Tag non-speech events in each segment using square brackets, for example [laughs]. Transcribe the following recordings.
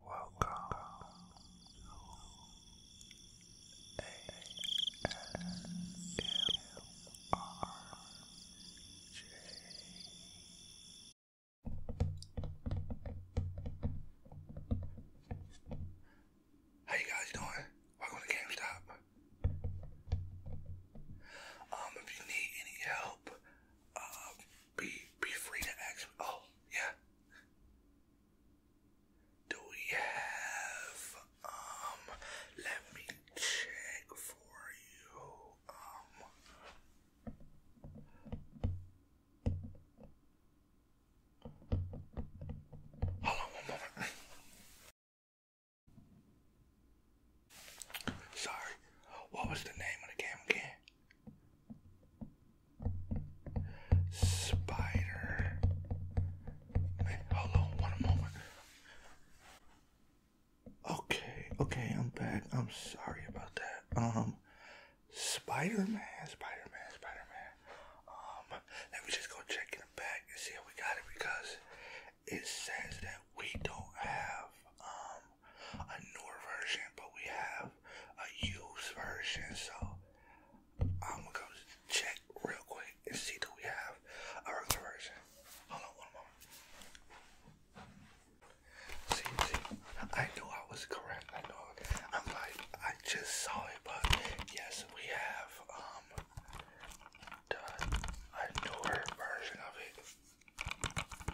Welcome How you guys doing? Welcome to GameStop. Um, if you need any help, uh, be be free to action. Oh yeah. Do we have um? Let me check for you. Um. Hold on one moment. Sorry. What was the name of the game again? Spider. Wait, hold on one moment. Okay, okay, I'm back. I'm sorry about that. Um, Spider Man, Spider Man, Spider Man. Um, let me just go check in the back and see if we got it because it says that we don't have, um, a newer version, but we have a used version. So I'm gonna go check real quick and see do we have a regular version. Hold on one moment. See, see, I knew I was correct. I know. I'm like, I just saw it, but yes, we have um a newer version of it.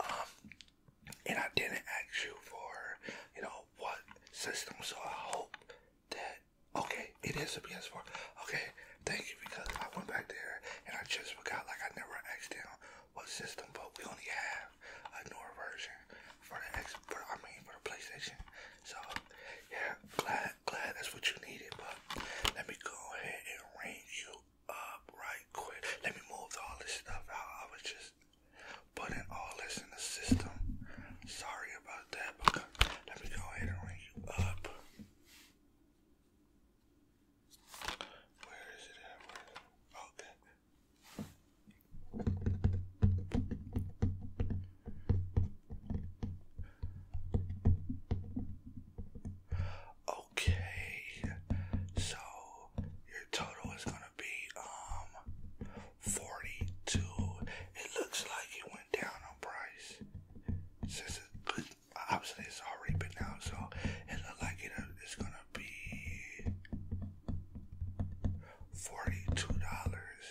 Um, and I didn't ask you for, you know, what system, so I hope that, okay, it is a PS4. Okay, thank you, because I went back there and I just forgot, like, I never asked them what system, but we only have a newer version for the X, for, I mean, for the PlayStation. So, yeah, glad glad, that's what you needed, but let me go ahead and ring you up right quick. Let me move all this stuff out. I was just putting all this in the system. Sorry about that, let me go ahead and ring you up. Where is it at? Okay. Okay, so your total is gonna be um forty-two. It looks like it went down on price since obviously it's already been out, so it looks like it uh, is gonna be forty-two dollars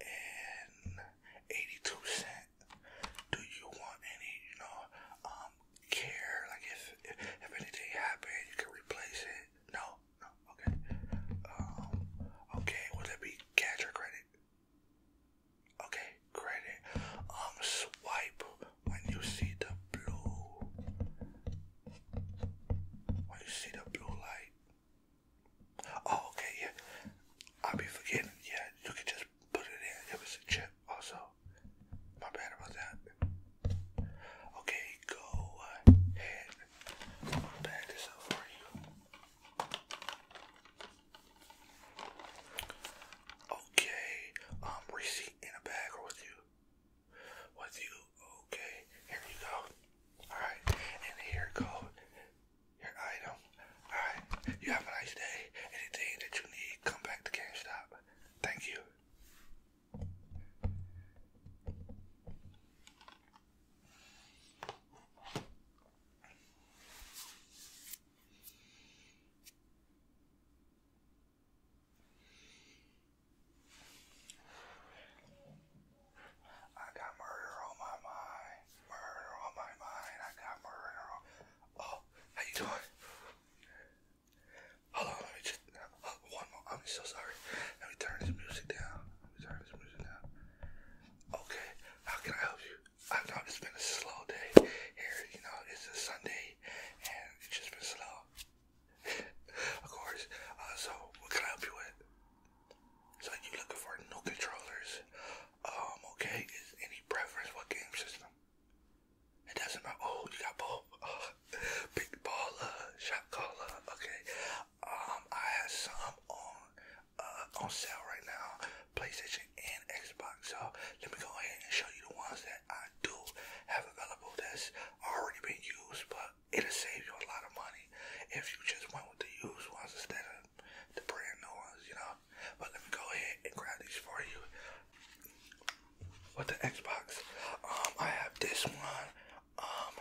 and 82 cent. Do you want any, you know, um, care? Like if, if, anything happened, you can replace it? No? No? Okay. Um, okay, would that be cash or credit? Okay, credit. Um, swipe when you see the blue. When you see the blue light. Oh, okay, yeah. I'll be forgetting. Yeah, you can just put it in. It was a chip also. My bad about that. Okay, go ahead. I'm gonna bag this up for you. Okay, um, receipt in a bag or with you? With you, okay. Here you go. Alright, and here go your item. Alright, you have a nice day. Anything that you need, come back to Stop. Thank you. I got murder on my mind murder on my mind. I got murder on. Oh, how you doing? Hold let me just oh, one more. I'm so sorry. Let me turn this music down. Let me turn this music down. Okay, how can I help you? I know it's been a slow day here. You know, it's a Sunday, and it's just been slow. [laughs] of course. Uh, so, what can I help you with? So you looking for new controllers? Um, okay, is any preference what game system? It doesn't matter. Oh, you got both. Uh, [laughs] big baller, shot caller. Okay. Um, I have some on uh on sale right now, PlayStation and Xbox. So let me go ahead and show you the ones that I do have available that's already been used, but it'll save you a lot of money if you just went with the used ones instead of the brand new ones, you know. But let me go ahead and grab these for you. With the Xbox, um, I have this one. Um,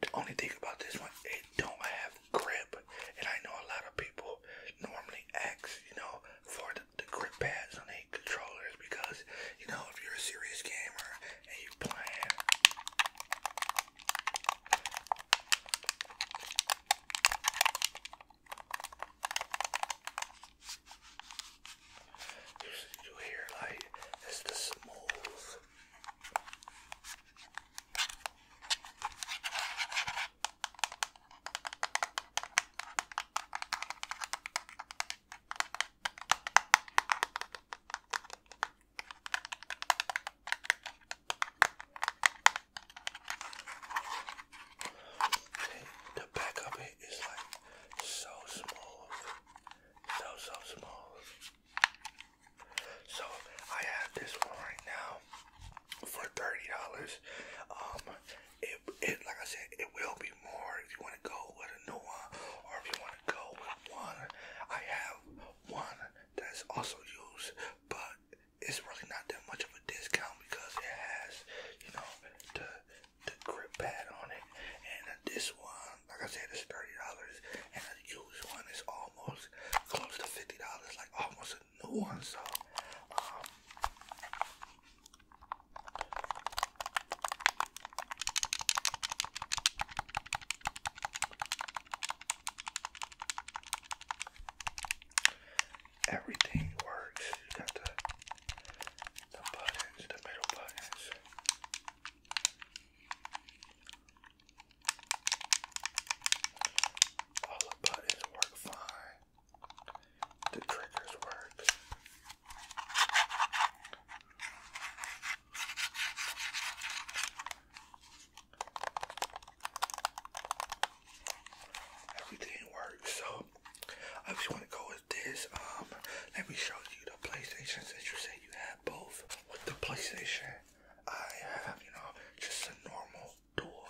the only thing about this one, it don't have grip, and I know a lot of people normally ask, you know, for the grip pads on the controllers because, you know, if you're a serious gamer and you playing you hear like it's the smooth the back of it is like so smooth, so so smooth. So I have this one right now for thirty dollars. Um, it it like I said, it will be more if you want to go with a new one or if you want to go with one. I have one that's also used, but it's really not that much of a discount because it has, you know, the the grip pad on it. And uh, this one, like I said, is thirty dollars, and the used one is almost close to fifty dollars, like almost a new one. So, um, Everything works. got the the buttons, the middle buttons. All the buttons work fine. The triggers work. Everything works, so I just want to go with this. Um, let me show you the PlayStation that you said you have both. With the PlayStation, I have you know just a normal door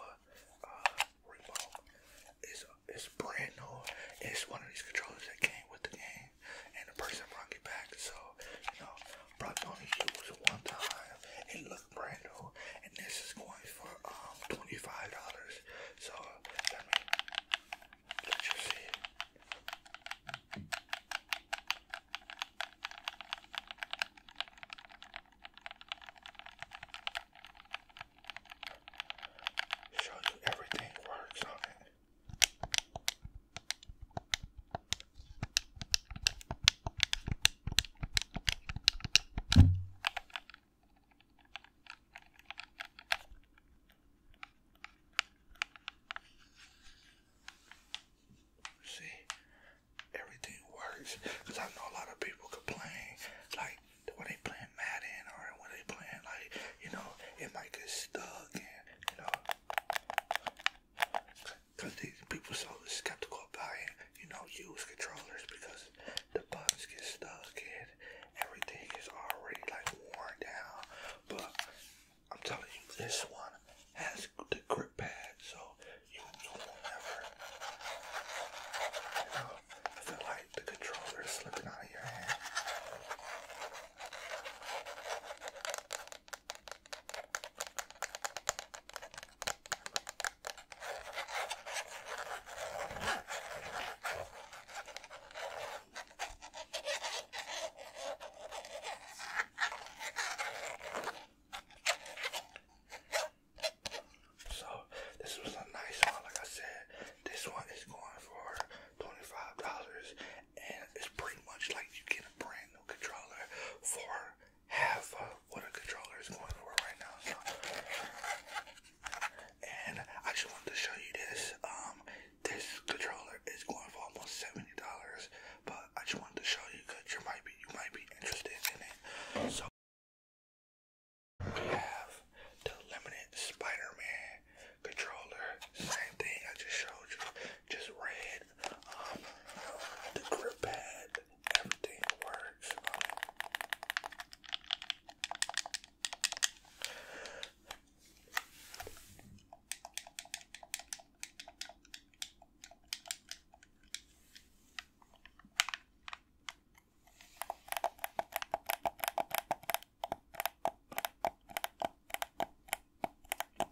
uh, remote. It's it's brand new. It's one of these controllers that came with the game, and the person brought it back. So you know Brought on the use one time. It looked brand new, and this is going for um twenty-five dollars. So let me let you see. Show you everything works on it. See, everything works. Cause I know a lot of people complain, like when they playing Madden or when they playing, like you know, it might get stuck and you know, because these people so skeptical about it, you know, use controllers because the buttons get stuck and everything is already like worn down. But I'm telling you, this one has the grip pad, so you, you will never, you know, feel like the controller is slipping out of your hand. So this was a nice one, like I said. This one is going for $25 and it's pretty much like you get a brand new controller for have uh, what a controller is going over right now. And I just wanted to show you this. Um, this controller is going for almost seventy dollars, but I just wanted to show you because you might be you might be interested in it. So we have the limited Spider-Man controller. Same thing I just showed you, just red it. Um, the grip pad, everything works. Um,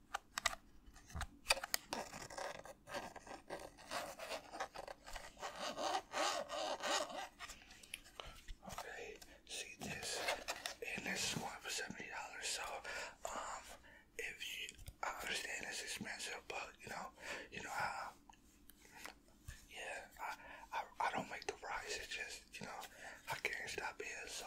Okay, see this, and this is one for seventy dollars. So, um, if you, I understand it's expensive, but you know, you know how. Yeah, I, I, I don't make the price. It's just you know I can't stop here, so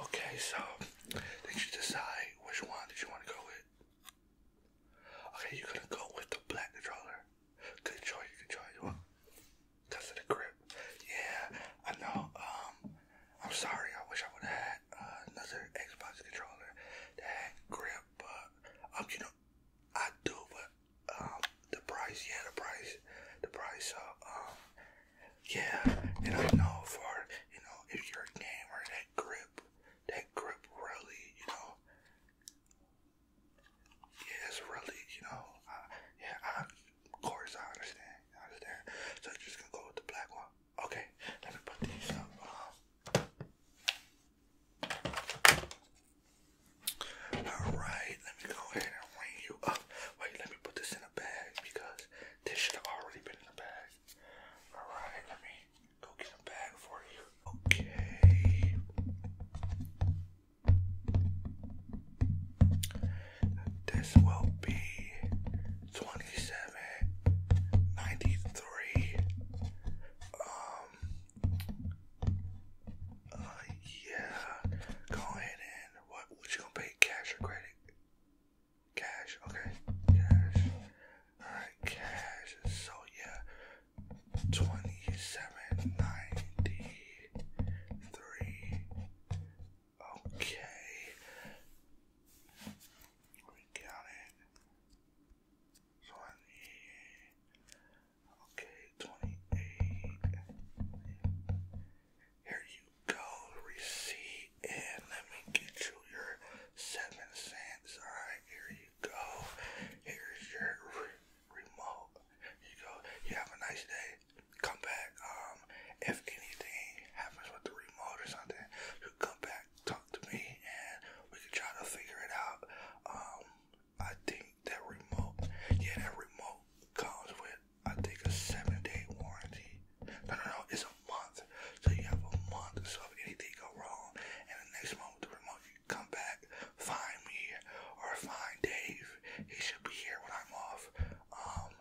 Okay, so did you decide which one did you want to go with? Okay, you're go with the black controller. Good choice, good Because of the grip. Yeah, I know. Um, I'm sorry. I wish I would have had uh, another Xbox controller that had grip, but um, you know, I do, but um, the price. Yeah, the price. The price. Uh, um, yeah, and know for you know if you're a gamer, that grip that grip really, you know, yeah, it's really, you know, yeah, of course, I understand, understand. So just gonna go with the black one. Okay, let me put these up. Um. all right, let me go ahead and ring you up. Wait, let me put this in a bag because this should have already been in the bag. Alright, let me go get a bag for you. Okay. This will be twenty-seven ninety-three. Um uh yeah. Go ahead and what would you pay cash or credit? Cash, okay. Cash. Alright, cash. So yeah. Twenty-seven ninety-three. Okay. Let me it. Twenty Okay, twenty-eight. Here you go, receipt and let me get you your seven cents. Alright, here you go. Here's your remote. Here you go. You have a nice day. Come back. Um, if anything happens with the remote or something, you come back, talk to me, and we can try to figure it out. Um, I think that remote, yeah, that remote comes with I think a seven day warranty. No, no, no, it's a month. So you have a month. So if anything go wrong, and the next month, three months, you come back, find me or find Dave. He should be here when I'm off. Um,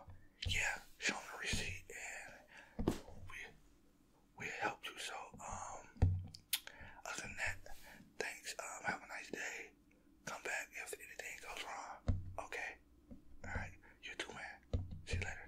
yeah, show him the receipt, and we we help you. So um, other than that, thanks. Um, have a nice day. Come back if anything goes wrong. Okay. All right. You too, man. See you later.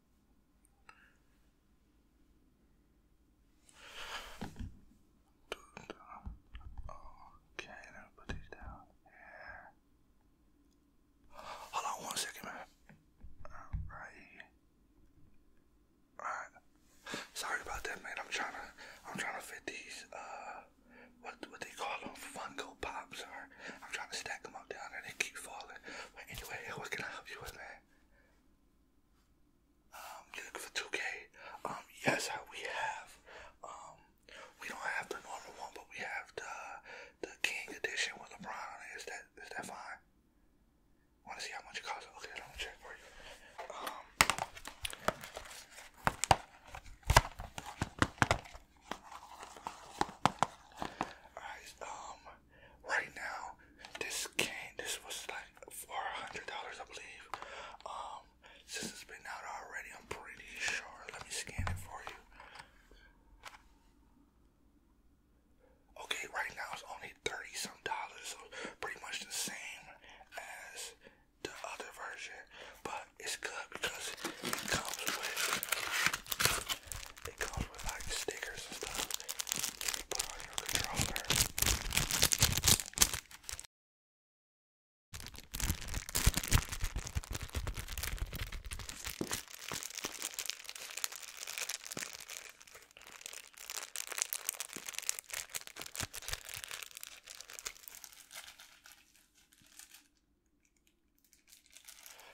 Okay, now put it down here. Hold on one second, man. Alright. Alright. Sorry about that, man. I'm trying to, I'm trying to fit these, uh, what, what they call them, Funko pops are. I'm trying to stack them up down there. They keep falling. But anyway, [laughs] what can I help you with, man? Um, looking for 2K? Um, yes, we have. Um, we don't have the normal one, but we have the the King Edition with LeBron on that is that fine? Want to see how much it costs? Okay, let me check for you. Um, Alright, um, right now, this came, this was like $400, I believe. Um, since has been out already, I'm pretty sure. Let me scan it for you. Okay, right now it's only 30 some dollars, so pretty much the same as the other version, but it's good because it comes with it comes with like stickers and stuff you put on your controller.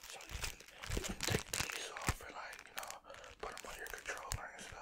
So you can, take these off or like, you know, put them on your controller and stuff.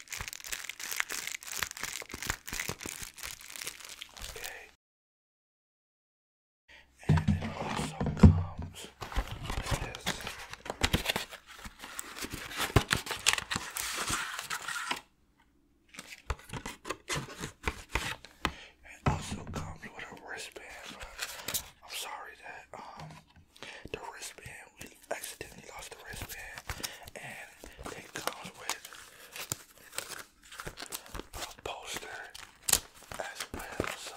Okay. And it also comes with this. It also comes with a wristband. I'm sorry that um the wristband accidentally lost the wristband, and it comes with a poster as well. So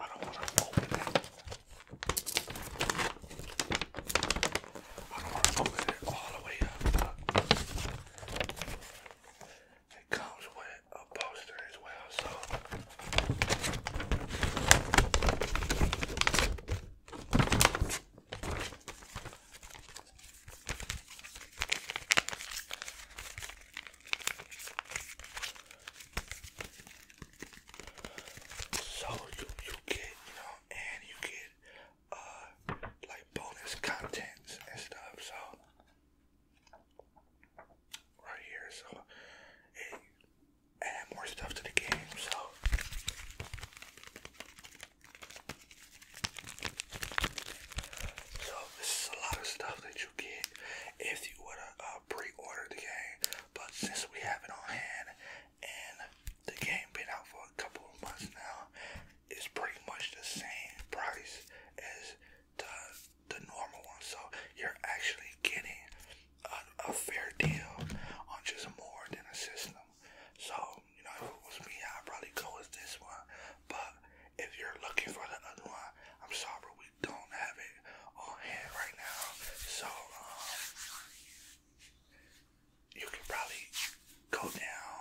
I don't want to open it. I don't want to open it all the way up. It comes with a poster as well, so so you you get you know, and you get uh like bonus contents and stuff. So right here, so and add more stuff to the game, so so this is a lot of stuff that you get if you would uh, to pre order the game. But since we have it on hand and the game been out for a couple of months now, it's pretty much the same price as the the normal one. So you're actually getting a fair deal on just more than a system. So, you know, if it was me, I'd probably go with this one. But if you're looking for the other one, I'm sorry, we don't have it on hand right now. So, um, you can probably go down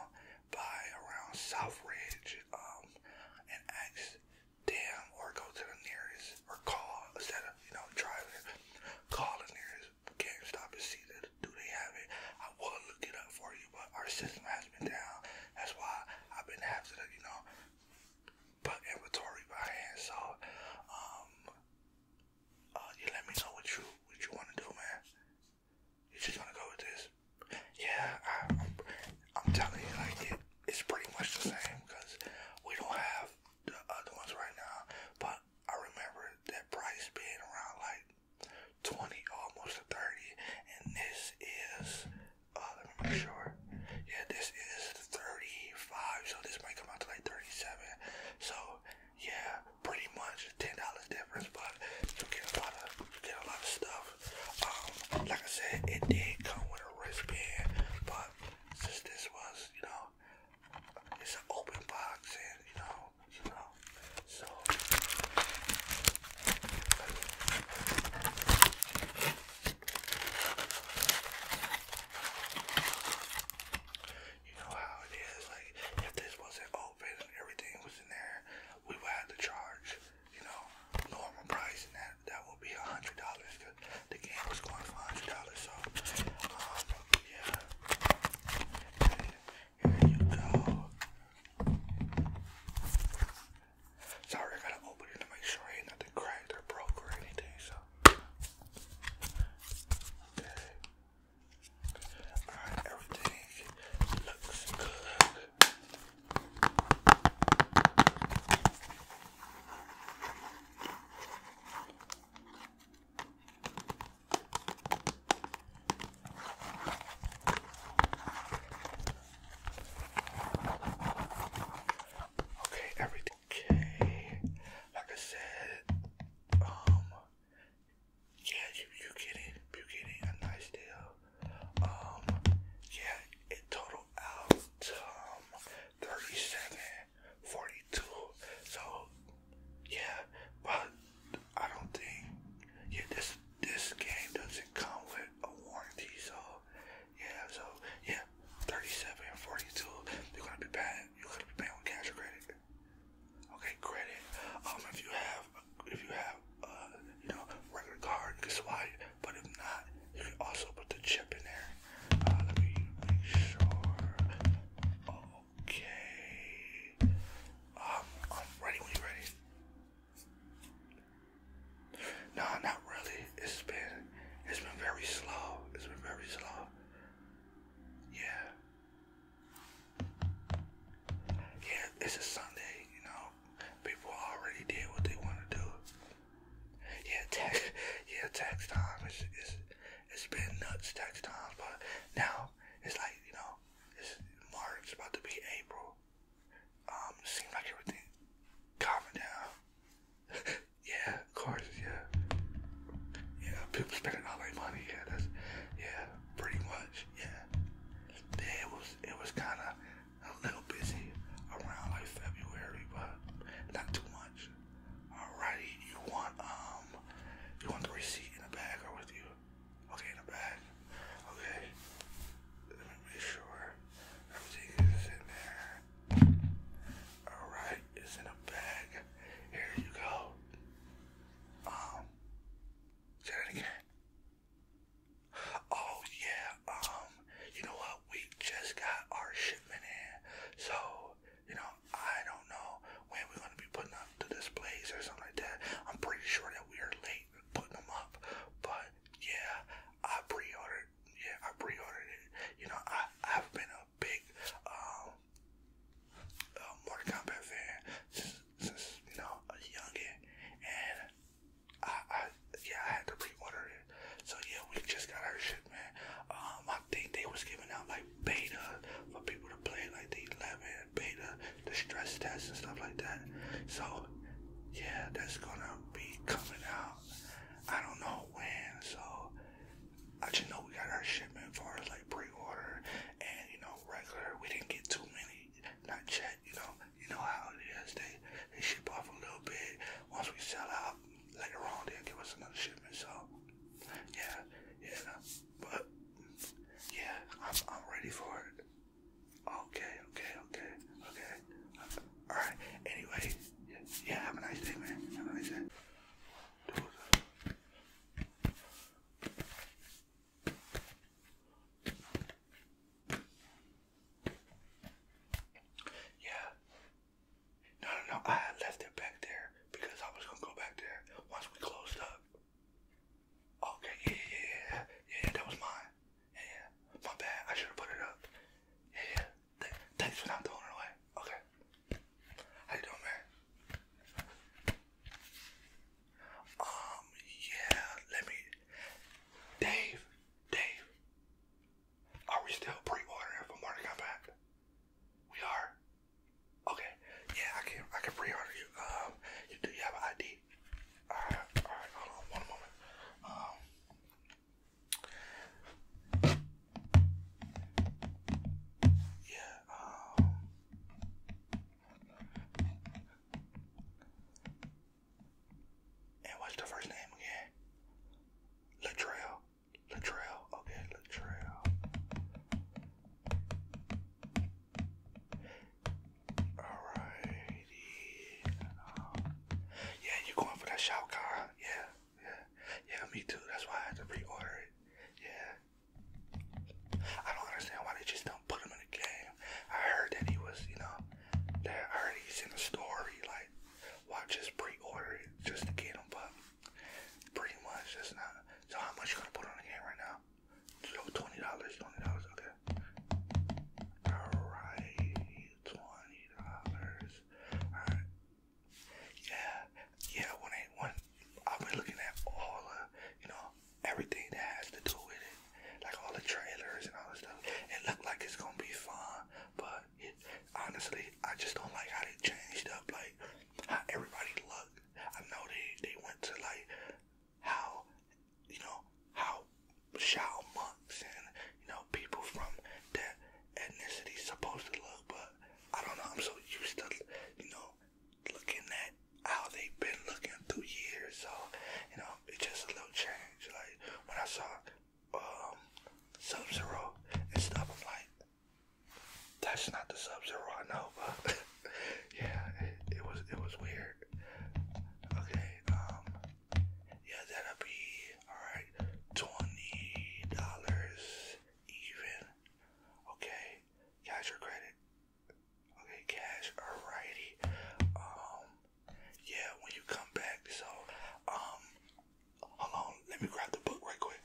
by around Southridge um, and ask them or go to the nearest or call instead of, you know, driving, call the nearest GameStop and see that do they have it. I would look it up for you, but our system has been down. That's why I've been having you know, put inventory by hand. So, um, uh, you let me know what you what you want to do, man. you just gonna go with this. Yeah, I'm, I'm telling you, like it, it's pretty much the same because we don't have the other ones right now, but I remember that price being around like 20, almost 30. And this is, uh, let me make sure. Yeah, this is 35. So this might come out to like 37. So yeah, pretty much $10 difference, but you get a lot of, you get a lot of stuff. Um, like I said, it did come with a wristband, but since this was, you know, it's an open box and you know, you know. So you know how it is, like if this wasn't open and everything was in there, we would have to charge, you know, normal price and that that would be a hundred dollars because the game was going for a hundred dollars. So um, yeah. Here you go. Sorry, gotta open it to make sure ain't nothing cracked or broke or anything, so. Okay. Alright, everything looks good. Okay, everything okay. Like I said, um, yeah, you you getting you getting a nice deal. Um, yeah, it total out um, 37, 42. So yeah, but I don't think yeah this this game doesn't come with a warranty. So yeah, so yeah, 37 and 42. You're gonna be paying. You're be paying with cash or credit. Okay, credit. Um, if you have if you have uh you know regular card, you can But if not, you can also put the chip in there. Okay. Um, I'm ready when you're ready. No, not really. It's been it's been very slow. It's been very slow. Yeah. Yeah, it's a Sunday, you know. People already did what they want to do. Yeah, tax [laughs] yeah, tax time it's been nuts tax times, but now it's like, you know, it's about to be April. Um, seems like everything calming down. [laughs] yeah, of course, yeah. Yeah, people spending all their money, yeah, that's yeah, pretty much, yeah. Then it was it was kinda a little busy around like February, but not too much. Alrighty, you want um you want the receipt in the bag or with you? Okay, in the bag. Okay. Let me make sure everything is in there. Alright, it's in a bag. Here you go. Um say that again. Oh yeah, um, you know what? We just got our shipment in. So you know, I don't know when we're going to be putting up the displays or something like that. I'm pretty sure that we are late putting them up, but yeah, I pre Yeah, I pre it. You know, I I've been a big um Mortal Kombat fan since, since you know a youngin, and I I yeah I had to pre it. So yeah, we just got our man. Um, I think they was giving out like beta for people to play like the 11 beta, the stress test and stuff like that. So yeah, that's gonna be coming out. I don't know when. So I just know we got our shipment for like pre-order and you know regular. We didn't get too many, not yet. You know, you know how it is. They they ship off a little bit. Once we sell out, later on they give us another shipment. So yeah, yeah. But yeah, I'm I'm ready for it. Okay, okay, okay, okay. All right. Anyway, yeah have a nice day, man. Have a nice day. Yeah, no, no, no. I left it back there because I was gonna go back there once we closed up. Okay, yeah, yeah, yeah, yeah. that was mine. Yeah, My bad. I should have put it up. Yeah, yeah. Th thanks for not throwing it away. Okay. How you doing, man? Um, yeah. Let me. Dave, Dave. Are we still pre-ordering for Marty Come Back? We are. Okay. Yeah, I can I can pre-order you. Um, do you have an ID? Alright, alright, hold on one moment. Um Yeah, um And what's the first name again? Latrell. Latrell. Okay, Latrell. Alrighty. Um, yeah, you going for that Shao Yeah, yeah, yeah. Me too. That's why I had to pre-order it. Yeah. I don't understand why they just don't put him in the game. I heard that he was, you know, that I heard he's in the story. Like, why just pre-order it just to get him? But Pretty much, that's not. So how much you gonna put on the game right now? So twenty dollars, twenty dollars, okay. Alright, twenty dollars. Alright. Yeah, yeah, one I've been looking at all the you know, everything that has to do with it. Like all the trailers and all the stuff. It looked like it's gonna be fun, but but honestly, I just don't like how they changed up, like how everybody looked. I know they they went to like how you know how Shao monks and you know people from that ethnicity supposed to look, but I don't know. I'm so used to you know looking at how they've been looking through years, so you know it's just a little change. Like when I saw um, Sub Zero and stuff. I'm that's not the Sub Zero I know, but [laughs] yeah, it, was it was weird. Okay, um, yeah, that'll be all right. Twenty dollars even. Okay, cash or credit? Okay, cash. Alrighty. Um, yeah, when you come back. So, um, Hold on, let me grab the book right quick.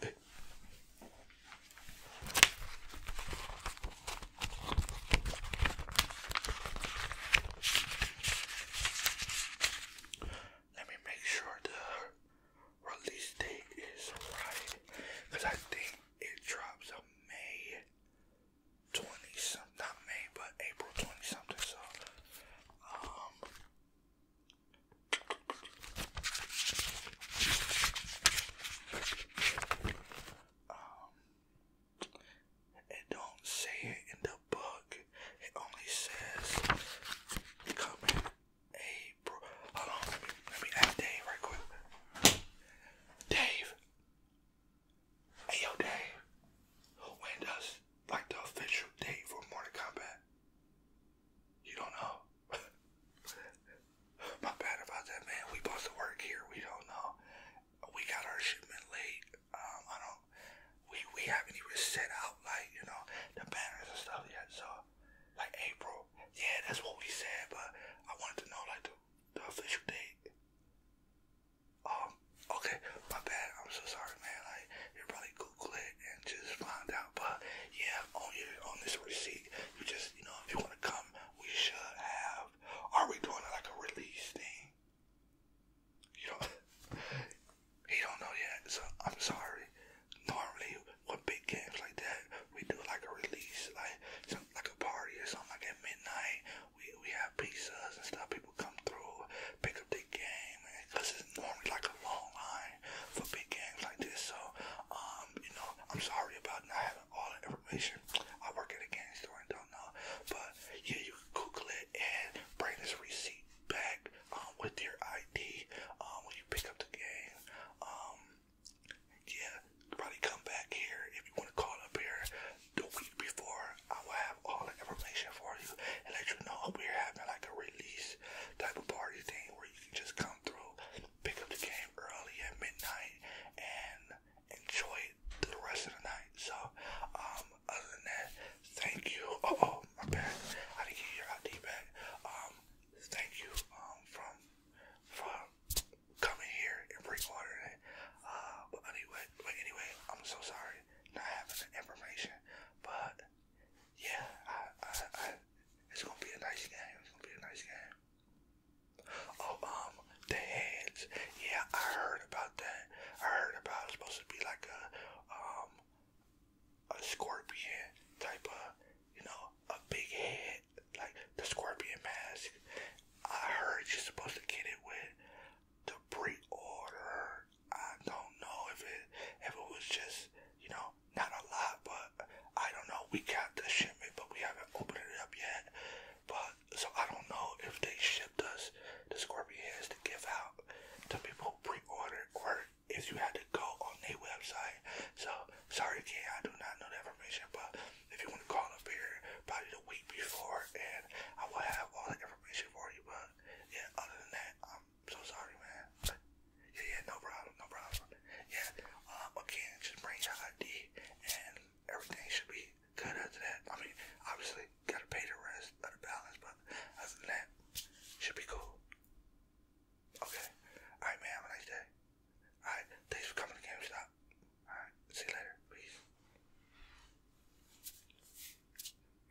Let me make sure the release date is right. Because I think it drops on May 20 something. Not May, but April 20 something. So, um, um, it don't say it in the book. It only says coming April. Hold on, let me, ask Dave right quick. Dave, hey yo, Dave. When does like the official date for Mortal Kombat? You don't know. [laughs] My bad about that, man. We supposed to work here. We don't know. We got our shipment late. Um, I don't. We we haven't even set out like you know the banners and stuff yet. So like April. Yeah, that's what we said. But I wanted to know like the, the official date. Um. Okay. My bad. I'm so sorry, man. Like you probably Google it and just find out. But yeah, on your on this receipt, you just you know if you want to come, we should have. Are we doing like a release thing? You don't. [laughs] he don't know yet, so I'm sorry. Normally, with big games like that, we do like a release, like some, like a party or something. Like at midnight, we we have pizzas and stuff. People come through, pick up their game because it's normally like a long line for big games like this. So, um, you know, I'm sorry about not having all the information. I work at a game store and don't know, but yeah, you can Google it and bring this receipt back um, with your ID um, when you pick up the game. Um, yeah, probably come back here if you want to call up here the week before. I will have all the information for you and let you know if we're having like a type of party thing where you can just come through, pick up the game early at midnight, and enjoy the rest of the night. So, um, other than that, thank you. [laughs] Oh, oh, my bad. I didn't get your ID back. Um, thank you. Um, from from coming here and pre Uh, but anyway, but anyway, I'm so sorry not having information, but yeah, I, I, I, it's gonna be a nice game. It's gonna be a nice game. Oh, um, the heads. Yeah, I heard about that. I heard about it's supposed to be like a, um, a scorpion type of, you know, a big head like the scorpion mask. I heard you're supposed to get it with the pre-order I don't know if it if it was just you know not a lot, but I don't know. We got the shipment, but we haven't opened it up yet. But so I don't know if they shipped us the scorpion heads to give out to people who pre-ordered or if you had to go on their website. So sorry again, I do not know that information, but if you want to call up here probably the week before and I will have all the information for you. But yeah, other than that, I'm so sorry, man. yeah, yeah, no problem, no problem. Yeah, um, again, just bring your ID and everything should be good after that. I mean, obviously, gotta pay the rest of the balance, but other than that, should be cool. Okay. Alright, man, have a nice day. Alright, thanks for coming to GameStop. Alright, see you later. Peace.